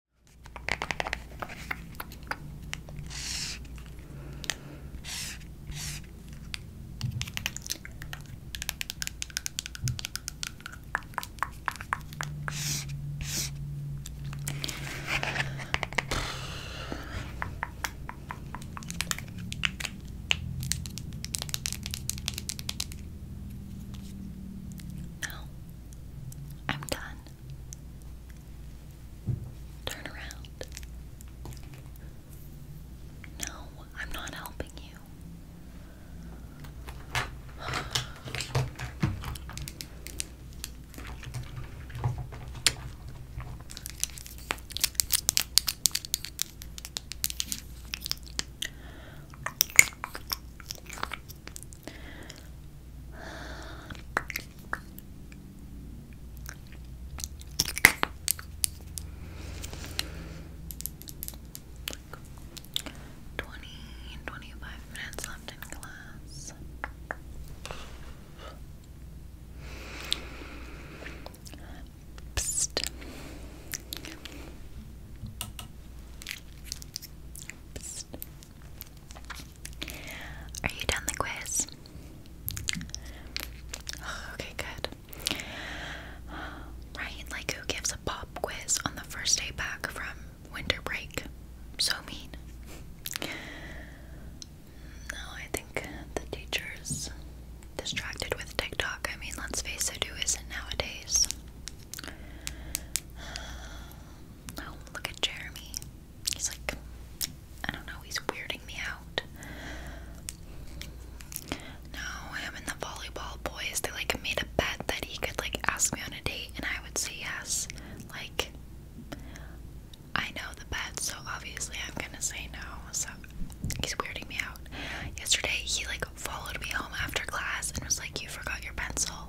No, I'm done. Turn around. No, I'm not helping you. Twenty and minutes left in class. Are you done the quiz? Okay, good. Right, like who gives a pop quiz on the first day back from winter break? So mean. No, I think the teacher's distracted with TikTok. I mean, let's face it, who isn't nowadays? Oh, look at Jeremy. He's like, I don't know, he's weirding me out. No, him and the volleyball boys, they like made a bet that he could like ask me on a date and I would say yes. Like, I know the bet, so obviously I'm gonna say no. So he's weirding me out. Yesterday, he like followed me home after class and was like, You forgot your pencil.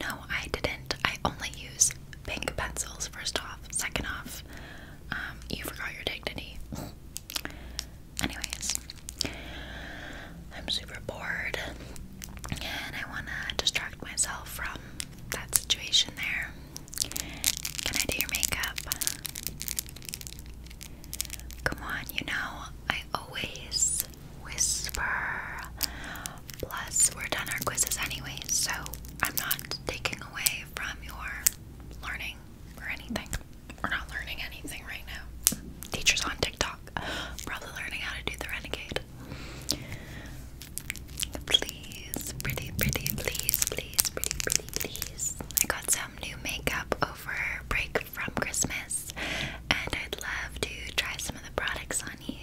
No, I didn't. I only use pink pencils, first off. Second off, um, you forgot your dignity. Anyways, I'm super bored and I want to distract myself from that situation there. Can I do your makeup? Come on, you know, I always whisper. Plus, we're done our quizzes anyway, so I'm not taking away from your learning or anything. We're not learning anything right now. Teachers on TikTok, probably learning how to do the renegade. Please, pretty, pretty, please, please, pretty, pretty, please. I got some new makeup over break from Christmas, and I'd love to try some of the products on you.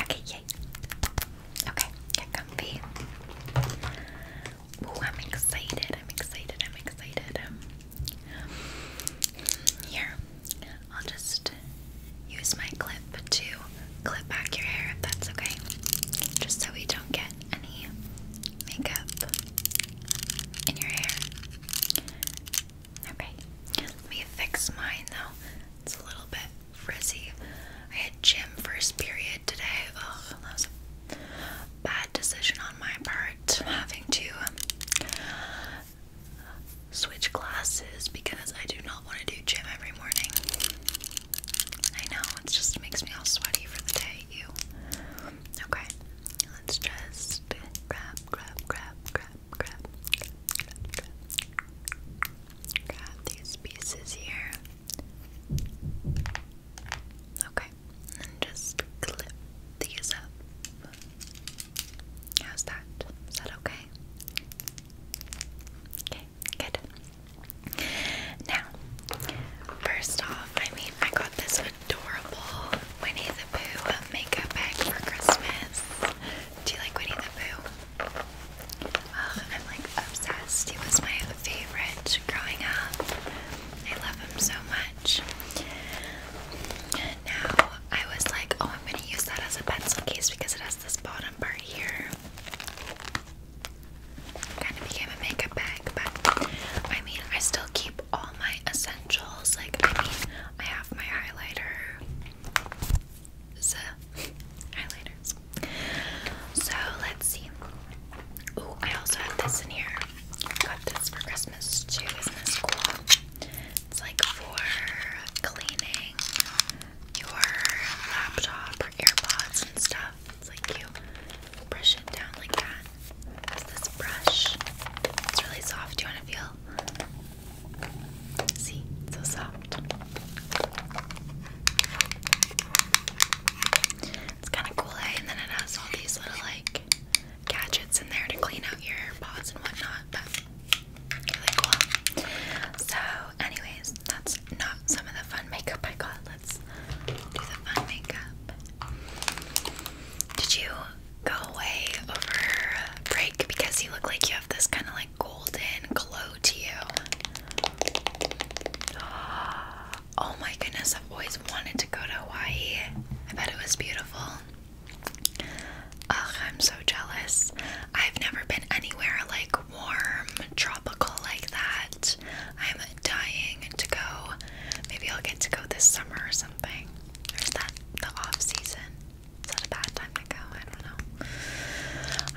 Okay, yay. Okay, get comfy. Ooh, I'm excited. I'm excited. I'm excited. Um, here, I'll just use my clip to clip back your hair if that's okay. Just so we don't get any makeup in your hair. Okay, let me fix mine though. It's a little bit frizzy. I had gym first period today. Ugh, that was a bad decision on my part. Having to switch classes because I do not want to do gym every morning. I know, it just makes me all sweaty for the day, you. Okay, let's just grab, grab, grab, grab, grab, grab, these pieces here. Okay, and just clip these up. How's that? Is that okay? Okay, good. Now, first off, I mean, I got this adorable Winnie the Pooh makeup bag for Christmas. Do you like Winnie the Pooh? I'm like obsessed. He was my favorite growing up. I love him so much. Now I was like, oh, I'm gonna use that as a pencil case because it has this bottom part here. Kind of became a makeup bag, but I mean, I still keep all my essentials. Like, I mean, I have my highlighter, the highlighters. So let's see. Oh, I also have this in here. Got this for Christmas too. Isn't this cool? It's like for cleaning your laptop or AirPods and stuff. It's like you brush it down like that. It's this brush. It's really soft. Do you want to feel? See, so soft. It's kind of cool, eh? And then it has all these little like gadgets in there to clean out your paws and whatnot. really cool. So, anyways, that's not some of the fun makeup I got. Let's do the fun makeup. Did you go away over break because you look like you have this kind of like golden glow to you. Oh my goodness, I've always wanted to go to Hawaii. I bet it was beautiful. Ugh, I'm so jealous. I've never been anywhere like warm, tropical like that. I'm dying to go. Maybe I'll get to go this summer or something. Or is that the off season? Is that a bad time to go? I don't know.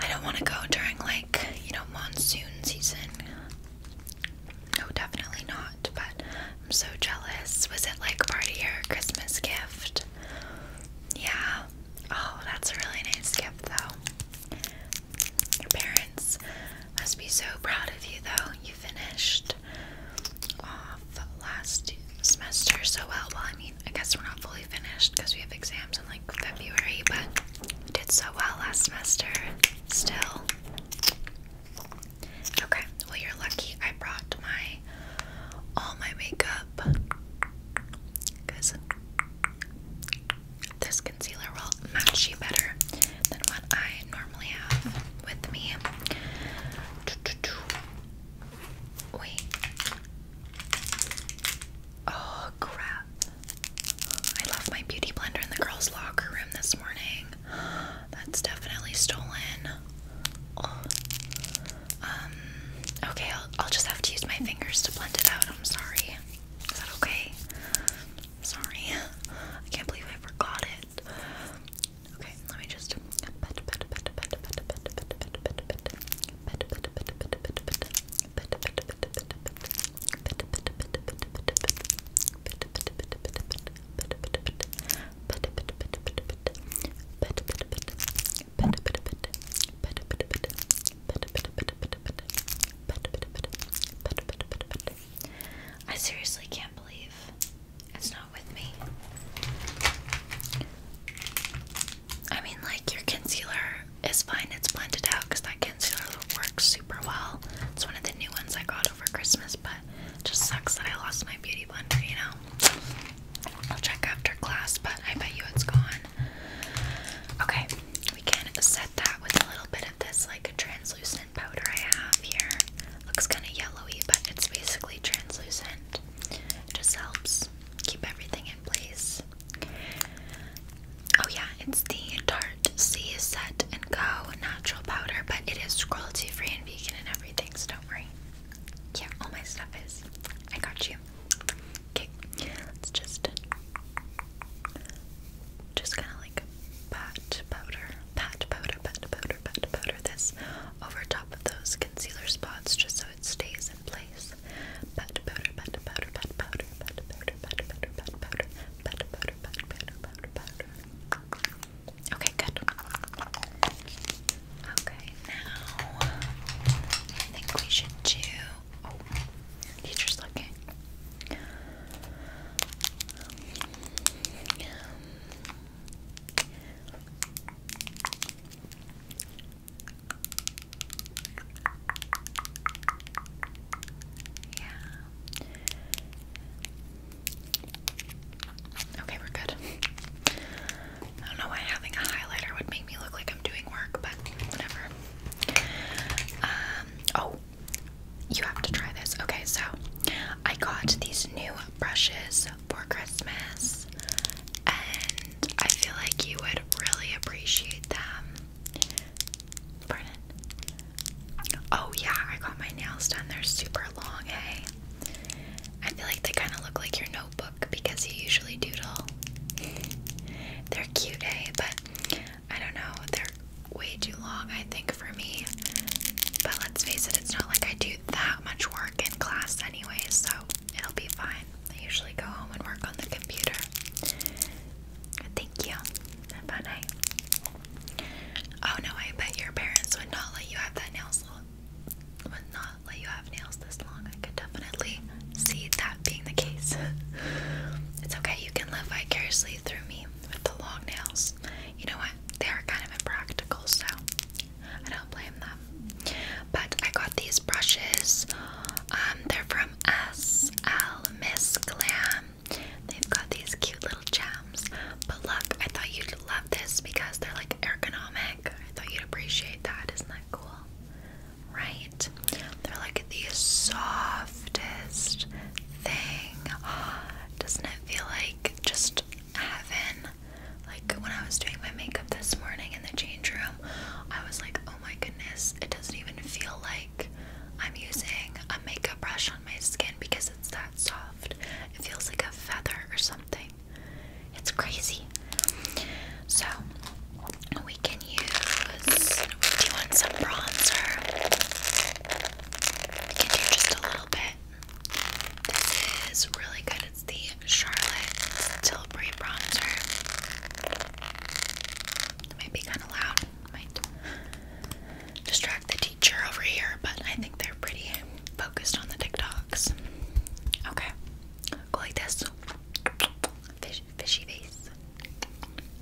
I don't want to go during like, you know, monsoon season. No, definitely not, but I'm so jealous. Was it like part of your Christmas gift? Yeah. Oh, that's a really nice gift though. Your parents must be so proud of you though. You finished last semester so well. Well, I mean, I guess we're not fully finished because we have exams in like February, but we did so well last semester still. Okay, well, you're lucky I brought my all my makeup because this concealer will match you better than what I normally have with me. Wait. Oh crap. I left my beauty blender in the girls' locker room this morning. That's definitely stolen. Um, okay, I'll, just have to use my fingers to blend it out. I'm sorry. Is that okay? sorry. I can't believe I forgot it. Okay, let me just. I seriously can't believe it's not with me. I mean, like your concealer is fine. It's blended out because that concealer works super well. It's one of the new ones I got over Christmas, but it just sucks that I lost my beauty blender. You know, I'll check after class, but I bet you it's gone. Okay, we can set that with a little bit of this like a translucent powder I have here. Looks kind of yellowy, but it's basically translucent. It just helps keep everything in place. Oh yeah, it's the Tarte C Set and Go natural powder, but it is cruelty free and vegan and everything, so don't worry. Yeah, all my stuff is. I got you. Okay, let's just just kind of like pat powder, pat powder, pat powder, pat powder this over top of those concealer spots, just it stays in place. Okay, good. Okay, now I think we should do. teacher's looking. Yeah. Okay, we're good. I don't know why having a highlighter would make me look like I'm doing work, but whatever. Um, oh, you have to try this. Okay, so I got these new brushes for Christmas, and I feel like you would really appreciate them. Oh, yeah, I got my nails done. They're super long, hey? I feel like they kind of look like your notebook because you usually doodle. They're cute, hey? But I don't know, they're way too long, I think, for me. But let's face it, it's not like I do that much work in class anyway, so it'll be fine. I usually go home and work on the computer. Thank you. Have a night. Oh no, I bet your parents would not let you have that nail Would not let you have nails this long. I could definitely see that being the case. it's okay, you can live vicariously through me with the long nails. You know what? They are kind of impractical, so I don't blame them but I got these brushes. Um, they're from SL Miss Glam. They've got these cute little gems. But look, I thought you'd love this because they're like ergonomic. I thought you'd appreciate that. Isn't that cool? Right? They're like the softest thing. Doesn't it feel like just heaven? Like when I was doing my makeup this morning in the change room, I was like, oh my goodness, it doesn't even feel like I'm using a makeup brush on my skin because it's that soft. It feels like a feather or something. It's crazy. So we can use do you want some bronzer? can do just a little bit. This is really good. It's the Charlotte Tilbury Bronzer. It might be kind of loud. Might distract the teacher over here, but I think they're pretty focused on the TikToks. Okay. Go like this. fishy face.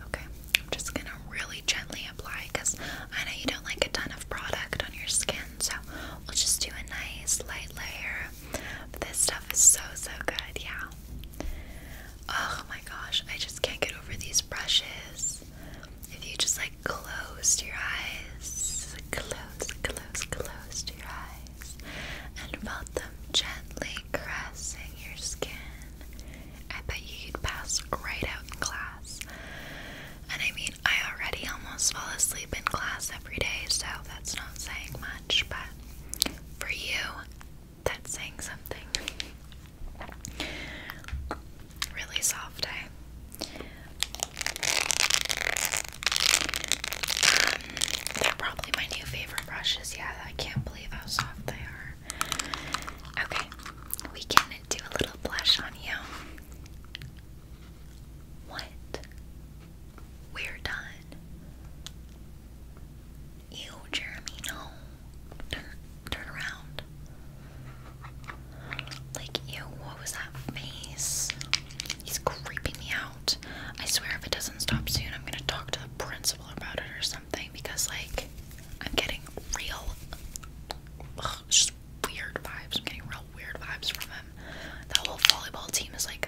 Okay. I'm just gonna really gently apply because I know you don't like a ton of product on your skin, so we'll just do a nice light layer this stuff is so so good, yeah. Oh my gosh, I just can't get over these brushes. If you just like close your eyes, close, close, closed your eyes, and felt them gently caressing your skin, I bet you'd pass right out in class. And I mean, I already almost fall asleep in class every day, so that's not saying much, but for you, that's saying something. Really soft, eh? Um, they're probably my new favorite brushes. Yeah, I can't believe how soft they are. Okay, we can do a little blush on you. What? We're done. You, Jeremy, no. Turn, turn around. Like, ew, what was that face? He's creeping me out. I swear, if it doesn't stop soon, I'm gonna talk to the principal about it or something because, like, I'm getting real, just weird vibes. I'm getting real weird vibes from him. The whole volleyball team is like,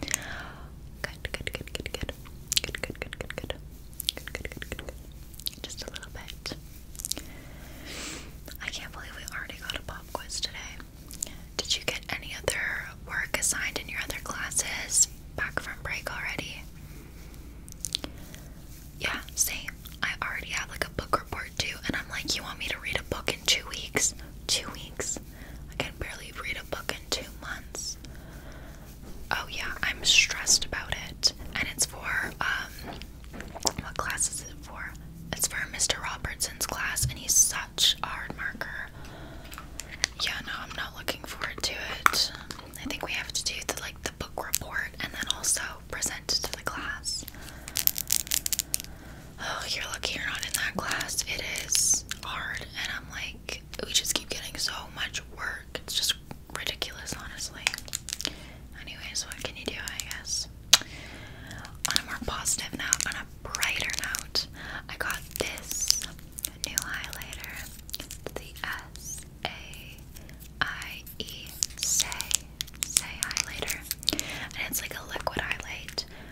Good, good, good, good, good. Good, good, good, good, good. Good, good, good, good, Just a little bit. I can't believe we already got a pop quiz today. Did you get any other work assigned in your other classes back from break already? Yeah, same. I already have like a book report too, and I'm like, you want me to read a book in two weeks? Two weeks? I can barely read a book in two months. Oh yeah, I'm stressed about it. And it's for um what class is it for? It's for Mr. Robertson's class and he's such a hard marker. Yeah, no, I'm not looking forward to it. I think we have to do the like the book report and then also present to the class oh, you're lucky you're not in that class. It is hard, and I'm like, we just keep getting so much work. It's just ridiculous, honestly. Anyways, what can you do, I guess? On a more positive note, on a brighter note, I got this new highlighter. It's the S A I E highlighter, and it's like a liquid highlight,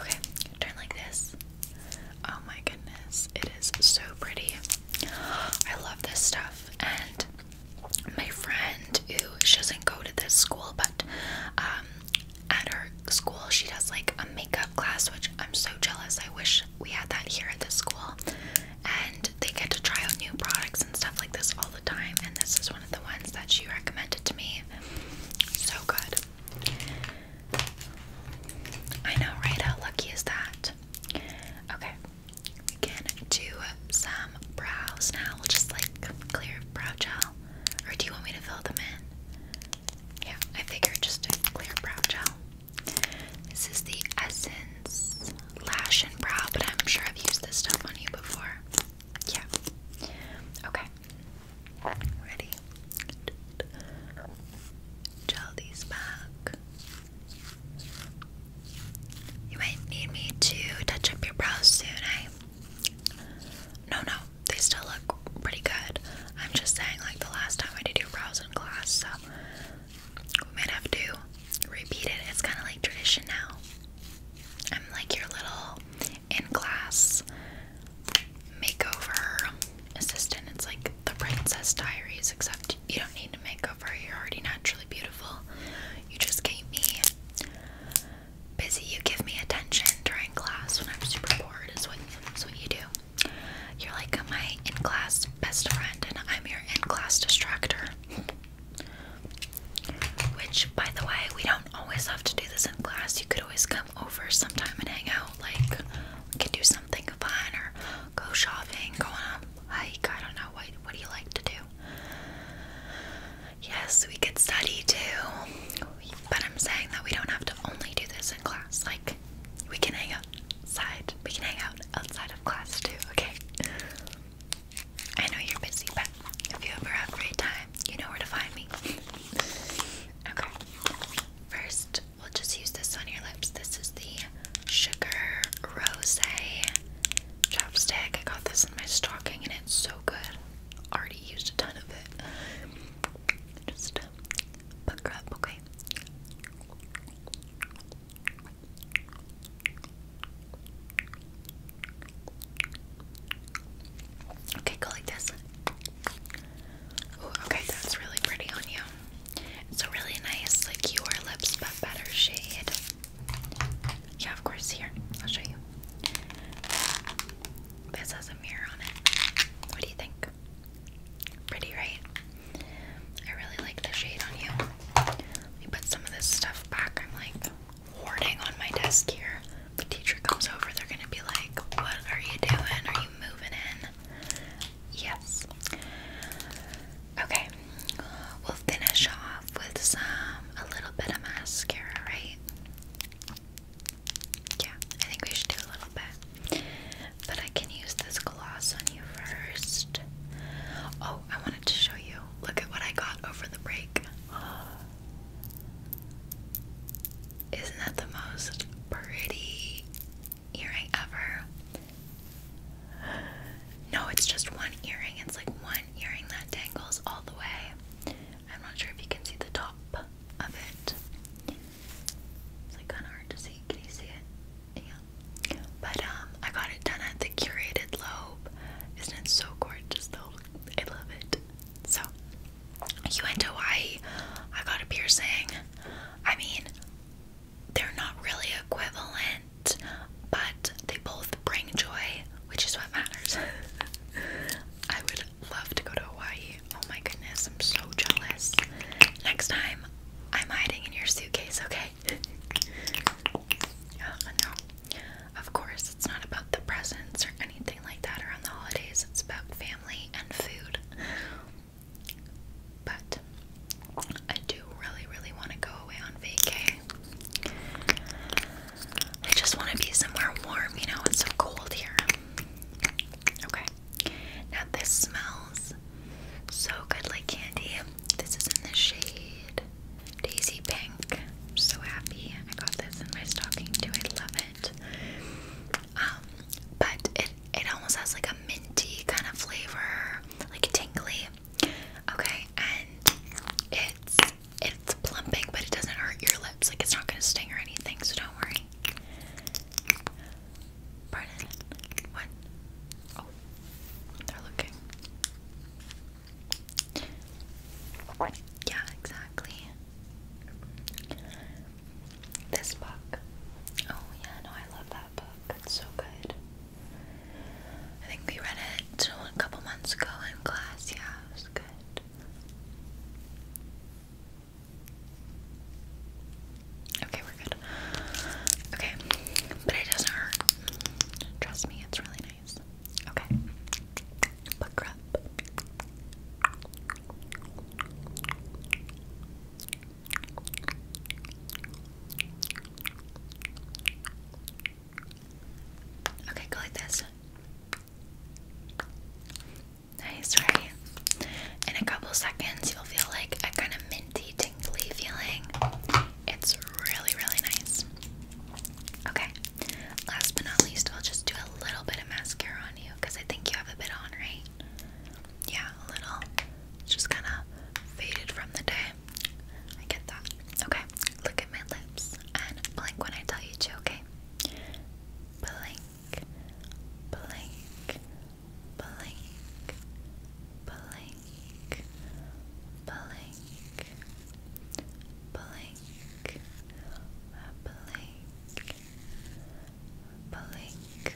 Okay, turn like this. Oh my goodness, it is so pretty. I love this stuff. And my friend, who she doesn't go to this school, but um, at her school, she does like a makeup class, which I'm so jealous. I wish we had that here at the school, and they get to try out new products and stuff like this all the time. And this is one of the ones that she recommended to me. So good. I know, right? How lucky is that? Okay, we can do some brows now. We'll just like clear brow gel. Or do you want me to fill them in? Yeah, I figured just a clear brow gel. This is the Essence Lash and Brow, but I'm sure I've used this stuff on you before. Yeah. Okay. Ready? Gel these back. You might need me to touch up your brows soon, eh? No, no, they still look pretty good. I'm just saying, like, the last time I did your brows in class, so we might have to repeat it. It's kind of like tradition now. I'm like your little in class makeover assistant. It's like the Princess Diaries, except you don't need to makeover. You're already naturally beautiful. You just keep me busy. You give me attention during class when I'm super bored. Is what is what you do. You're like my in class best friend, and I'm your in class distractor. Which, by the way, we don't always have to do this in class. You could always come over sometime and hang out. Like, we can do something fun or go shopping, go on a hike. I don't know. What, what do you like to do? Yes, we could study too. But I'm saying that we don't have to only do this in class. Like, we can hang outside. We can hang out outside of class too, okay? I know you're busy, but if you ever have free time, you know where to find me. okay. First, we'll just use this on your lips. This is the Sugar Rose chopstick. I got this in my stocking and it's so good. Already used a ton of it. Just uh, pucker up, okay? Okay, go like this. okay, that's really pretty on you. It's a really nice, like your lips but better shade. Yeah, of course. Here, I'll show you. This has a mirror on it. What do you think? Pretty, right? I really like the shade on you. Let me put some of this stuff back. I'm like hoarding on my desk here. the teacher comes over, they're gonna be like, What are you doing? Are you moving in? Yes. Okay, we'll finish off with some, a little bit of mascara, right? Yeah, I think we should do a little bit. But I can use this gloss on you first. Oh, I wanted to show you. Look at what I got over the break. Isn't that the most pretty earring ever? No, it's just one earring. It's like one earring that dangles all the way. I'm not sure if you can see the top of it. It's like kind of hard to see. Can you see it? yeah. But um, I got it done at the Curated Lobe. Isn't it so gorgeous though? I love it. So, you went to Hawaii. I got a piercing. I mean, they're not really equivalent, but they both bring joy, which is what matters. I would love to go to Hawaii. Oh my goodness, I'm so jealous. Next time, I'm hiding in your suitcase, okay? uh, no. Of course, it's not about the presents or anything like that around the holidays. It's about family and food. But I do really, really want to go away on vacay. I just want to be somewhere warm, you know, it's so cold here. Okay. Now this smells so good like candy. This is in the shade Daisy Pink. I'm so happy I got this in my stocking too. I love it. Um, but it it almost has like a minty kind of flavor, like tingly. Okay, and it's it's plumping, but it doesn't hurt your lips. Like it's not gonna sting or anything, so don't worry. Pardon? What? Oh, they're looking. Yeah, exactly. This book. Oh, yeah, no, I love that book. It's so good. I think we read it a couple months ago in class. Yeah, it was good. Okay, we're good. Okay, but it doesn't hurt. Trust me, it's really Okay. Okay, go like this. Nice, right? In a couple seconds, you'll feel like a kind of minty feeling. It's really, really nice. Okay, last but not least, I'll just do a little bit of mascara on you because I think you have a bit on, right? Yeah, a little. Just kind of faded from the day. I get that. Okay, look at my lips and blink when I tell you to, okay? Blink, blink, blink, blink, blink, blink, blink, blink, blink, blink, blink,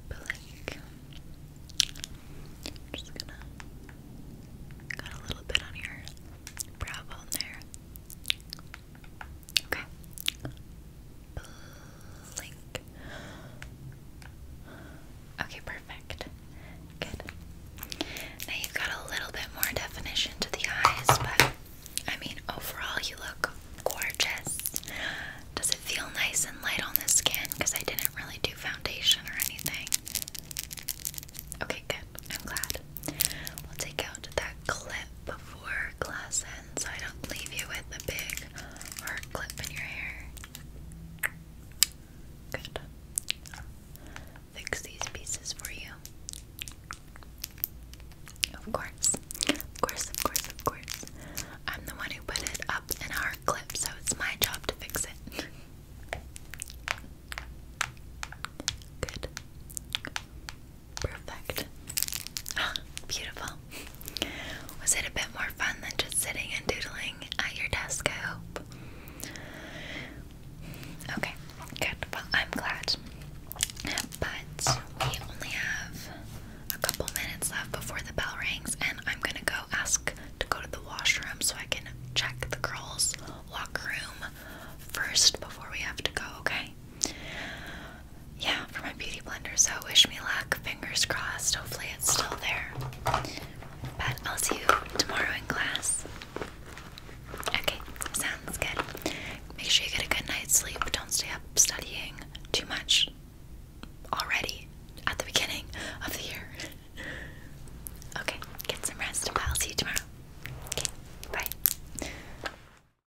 blink, blink. just gonna got a little bit on your brow bone there. Okay. Blink. Okay, perfect. Good. Now you've got a little bit more definition to the eyes, but I mean, overall, you look gorgeous. Does it feel nice and light on the skin? Because I didn't really do foundation or anything. Okay, good. I'm glad. We'll take out that clip before class ends so I don't leave you with a big hard clip in your hair. Good. Fix these pieces for you. Of course. Of course, of course, of course. I'm the one who put it up in a hard clip, so it's my job to fix it. Good. Perfect. Ah, beautiful. Was it a bit more fun than just sitting and doodling at your desk? I hope. Okay, good. Well, I'm glad. But we only have a couple minutes left before the bell rings, and I'm gonna go ask to go to the washroom so I can check the girls' locker room first before we have to go, okay? yeah, for my beauty blender. So wish me luck. Fingers crossed. Hopefully it's still there. But I'll see you tomorrow in class. Okay, sounds good. Make sure you get a good night's sleep. Don't stay up studying too much already at the beginning of the year. okay, get some rest. I'll see you tomorrow. Okay, bye.